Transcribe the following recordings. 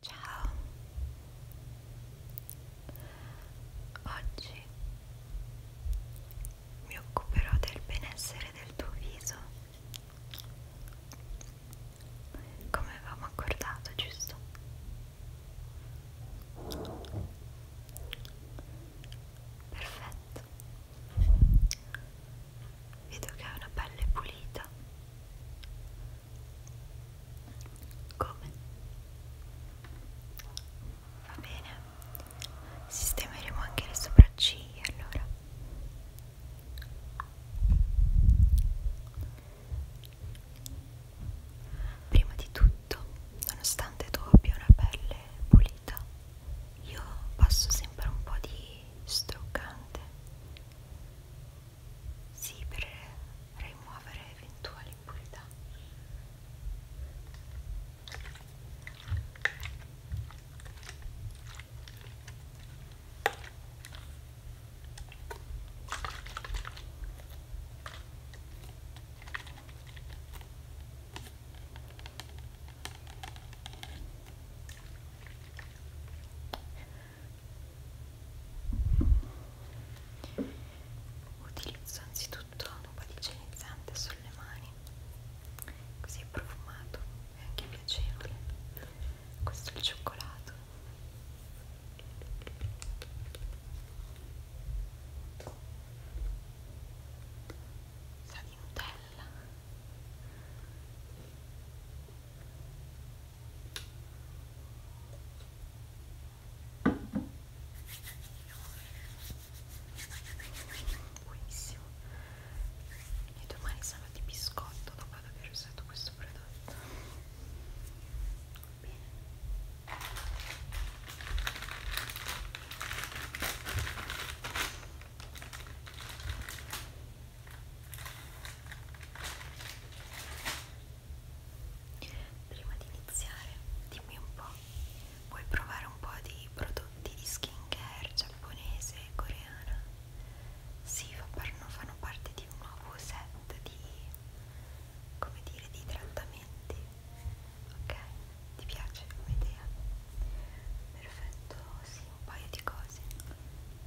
Ciao, oggi mi occuperò del benessere del tuo viso, come avevamo accordato, giusto? Perfetto, vedo che hai una pelle pulita. Come? Va bene, sistemeremo anche le sopracciglia allora. Prima di tutto, nonostante tu abbia una pelle pulita, io passo sempre un po' di struccante sì, per rimuovere eventuali impurità utilizzo anzitutto un po' di igienizzante sulle mani così è profumato e anche piacevole questo è il cioccolato sa di Nutella buonissimo e domani sarà di biscotto dopo aver usato questo prodotto bene Prima di iniziare, dimmi un po', vuoi provare un po' di prodotti di skincare giapponese e coreana? Sì, fanno parte di un nuovo set di, come dire, di trattamenti. Ok? Ti piace come idea? Perfetto, sì, un paio di cose.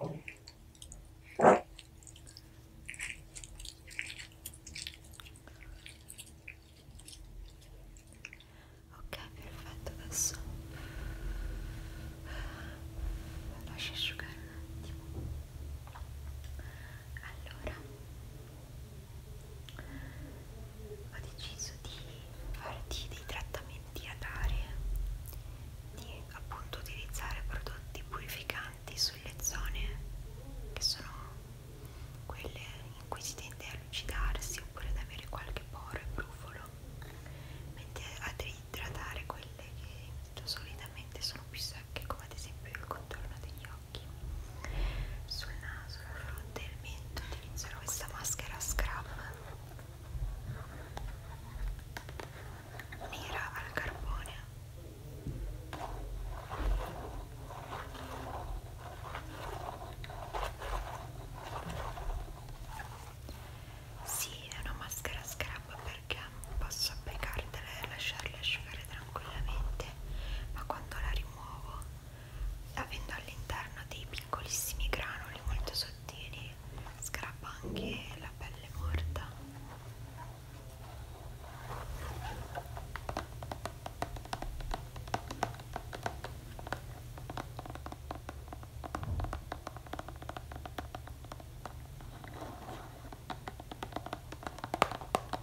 Ok, perfetto, adesso lascia asciugare un attimo. Allora, ho deciso di farti dei trattamenti a dare, di appunto utilizzare prodotti purificanti sulle zone che sono quelle in cui si tende a lucidarsi oppure ad avere qualche poro e brufolo, mentre ad idratare quelle che solitamente sono più secche, come ad esempio il contorno degli occhi sul naso, la fronte e il mento utilizzerò questa maschera scrub nera al carbone sì, è una maschera scrub perché posso applicartela e lasciarla asciugare tranquillamente ma quando la rimuovo nuovo avendo all'interno dei piccolissimi granuli molto sottili scrappa anche la pelle morta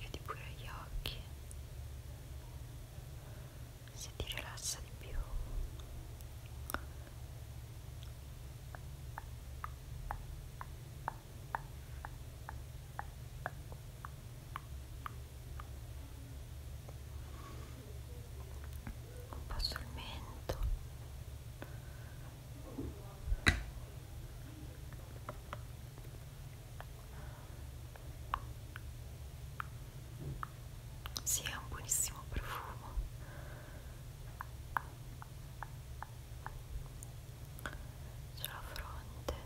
chiudi pure gli occhi se ti rilassa di più un po' sul mento si sì, è un buonissimo profumo sulla fronte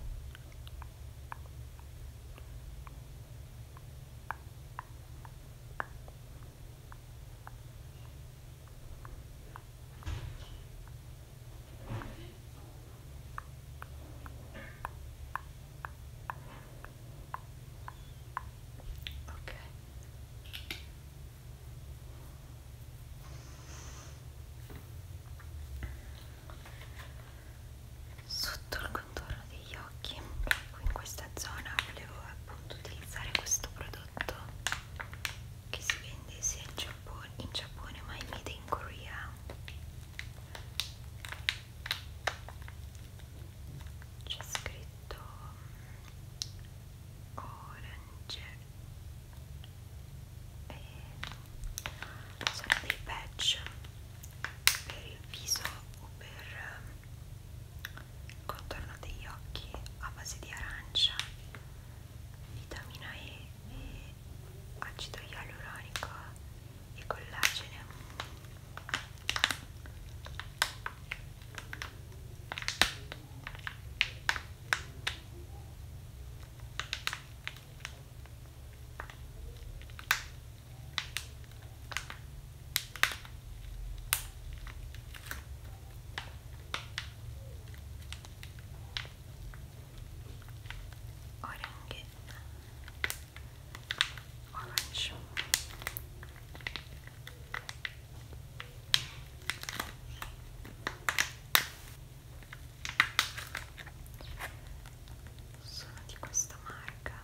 Ok. Sotto il intorno degli occhi qui in questa zona volevo appunto utilizzare questo prodotto che si vende sia in Giappone, in Giappone ma in made in Korea c'è scritto mm, orange e sono dei patch per il viso o per mm, il contorno degli occhi a base di arancia, vitamina E e acido ialuronico e collagene Orange Orange sono di questa marca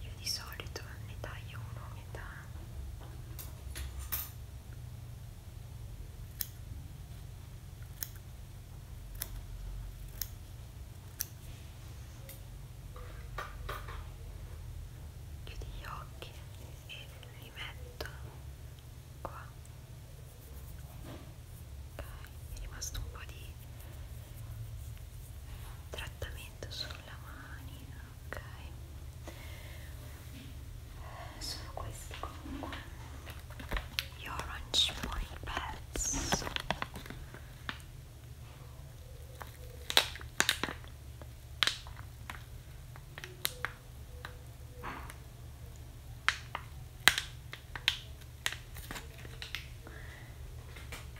Io di solito ne taglio uno a metà chiudi gli occhi e li metto qua ok è rimasto un po' di trattamento sulla mano ok sono questi comunque gli orange point pads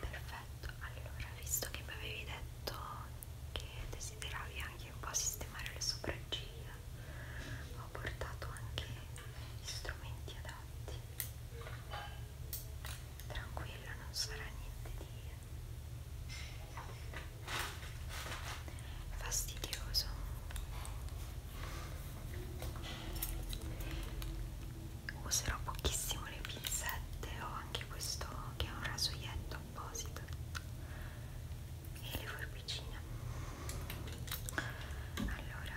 Perfetto, allora visto che mi avevi detto che desideravi anche un po' sistemare le sopracciglia, ho portato anche gli strumenti adatto importanti tranquilla non sarà niente di fastidioso userò pochissimo le pinzette ho anche questo che è un rasoietto apposito e le forbicine allora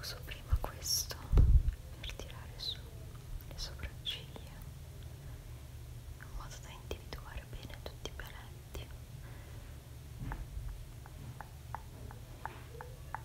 Uso prima questo per tirare su le sopracciglia in modo da individuare bene tutti i paletti.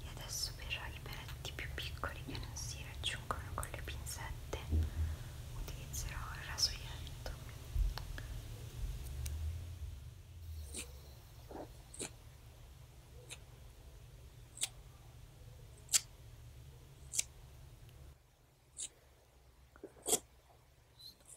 e adesso per i peletti più piccoli che non si raggiungono con le pinzette utilizzerò il rasoietto Sto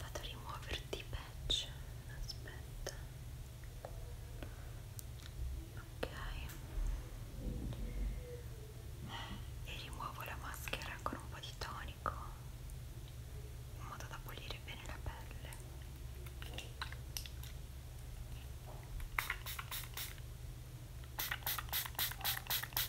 vado a rimuoverti i patch aspetta ok e rimuovo la maschera con un po' di tonico in modo da pulire bene la pelle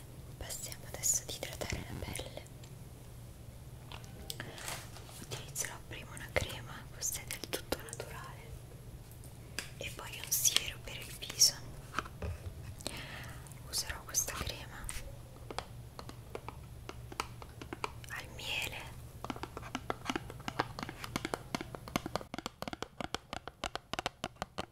bene, passiamo adesso ad idratare la pelle. Utilizzerò prima una crema, questa è del tutto naturale, e poi un siero per il viso. Userò questa crema al miele.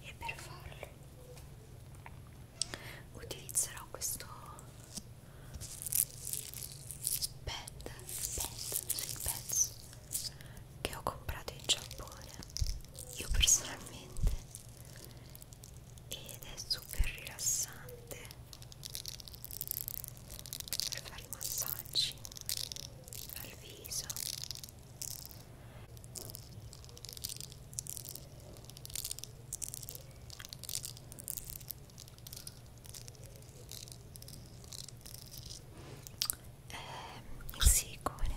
e per farlo utilizzerò questo pad, pad, sì, pads che ho comprato in Giappone io personalmente ed è super rilassante per fare massaggi al viso eh, il silicone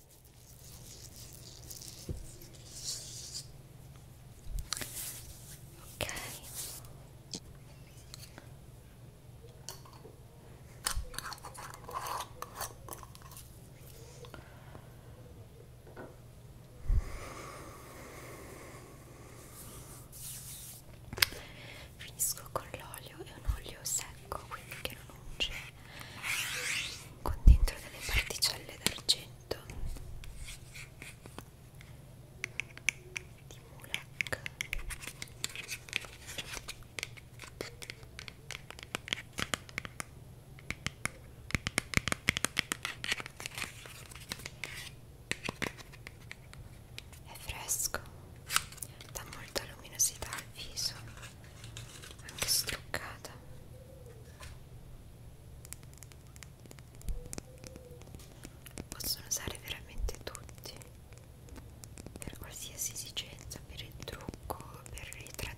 ok Finisco con l'olio, è un olio secco quindi che non unge con dentro delle particelle d'argento di Mulak è fresco, dà molta luminosità al viso, anche struccata. Possono usare veramente tutti per qualsiasi esigenza, per il trucco, per i trattamenti.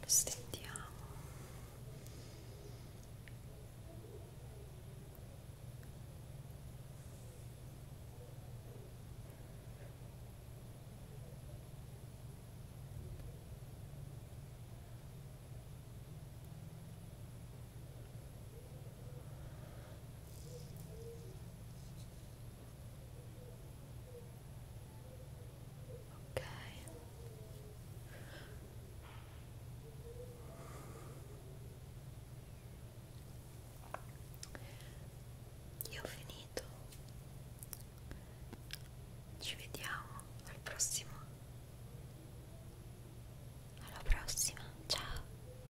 lo stendiamo ok io ho finito ci vediamo al prossimo alla prossima ciao